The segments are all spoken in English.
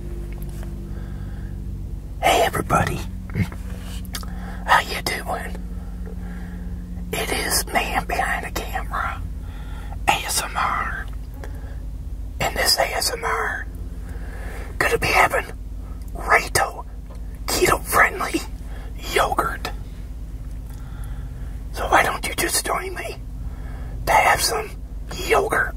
Hey everybody, how you doing? It is man behind the camera, ASMR, and this ASMR could it be heaven? Rato keto-friendly yogurt. So why don't you just join me to have some yogurt?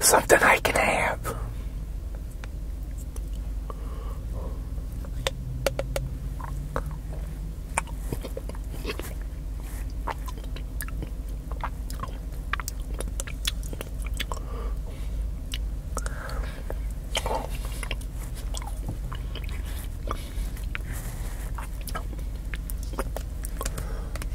Something I can have.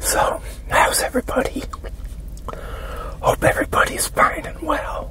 So, how's everybody? Hope everybody's fine and well.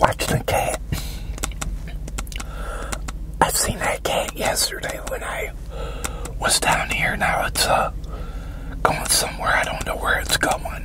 Watch the cat I seen that cat yesterday when I was down here. Now it's uh, going somewhere. I don't know where it's going.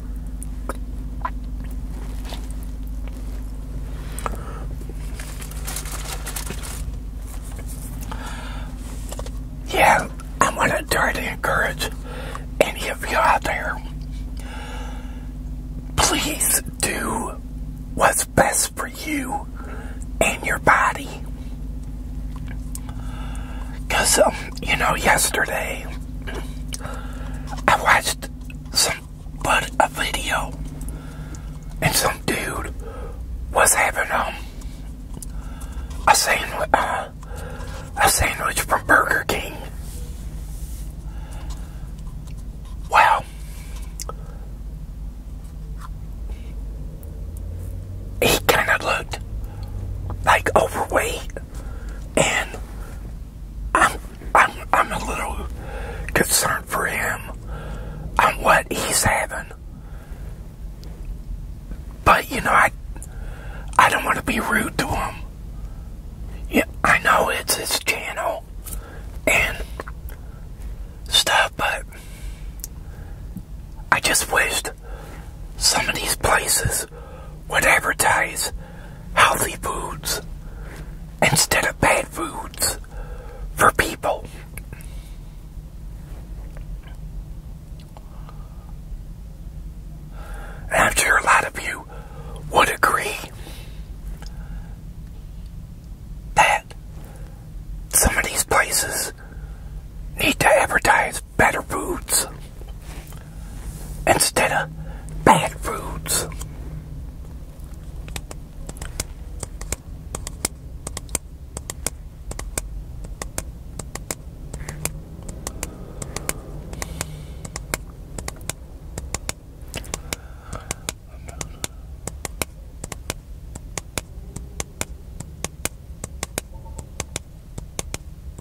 Yeah, I want to try to encourage any of you out there. Please do what's best for you and your body. Because, um, you know, yesterday I watched but a video and some dude was having um a sandwich uh, a sandwich from Burger King. Wow. He kind of looked like overweight and I'm, I'm, I'm a little concerned for him on what he's having. But, you know, I, I don't want to be rude to him. Yeah, I know it's his channel and stuff, but I just wished some of these places would advertise healthy foods instead of bad foods for people. I'm sure a lot of you would agree that some of these places need to advertise better foods instead of bad foods.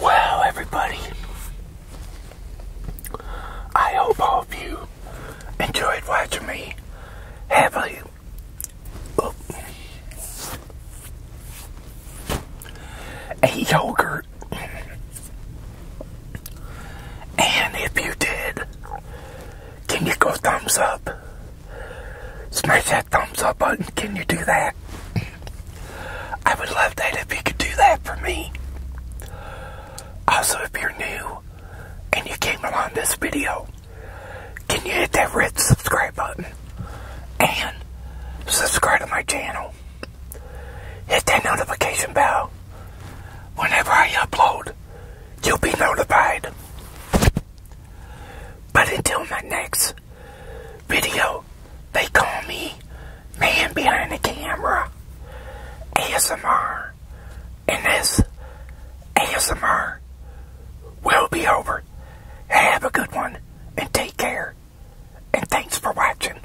Well, everybody, I hope all of you enjoyed watching me have a oh, a and if you did, can you go thumbs up? Smash that thumbs up button. Can you do that? I would love that if you could do that for me. Also, if you're new and you came along this video, can you hit that red subscribe button and subscribe to my channel? Hit that notification bell. Whenever I upload, you'll be notified. But until my next video, they call me Man Behind the Camera ASMR. And this ASMR will be over. Have a good one and take care. And thanks for watching.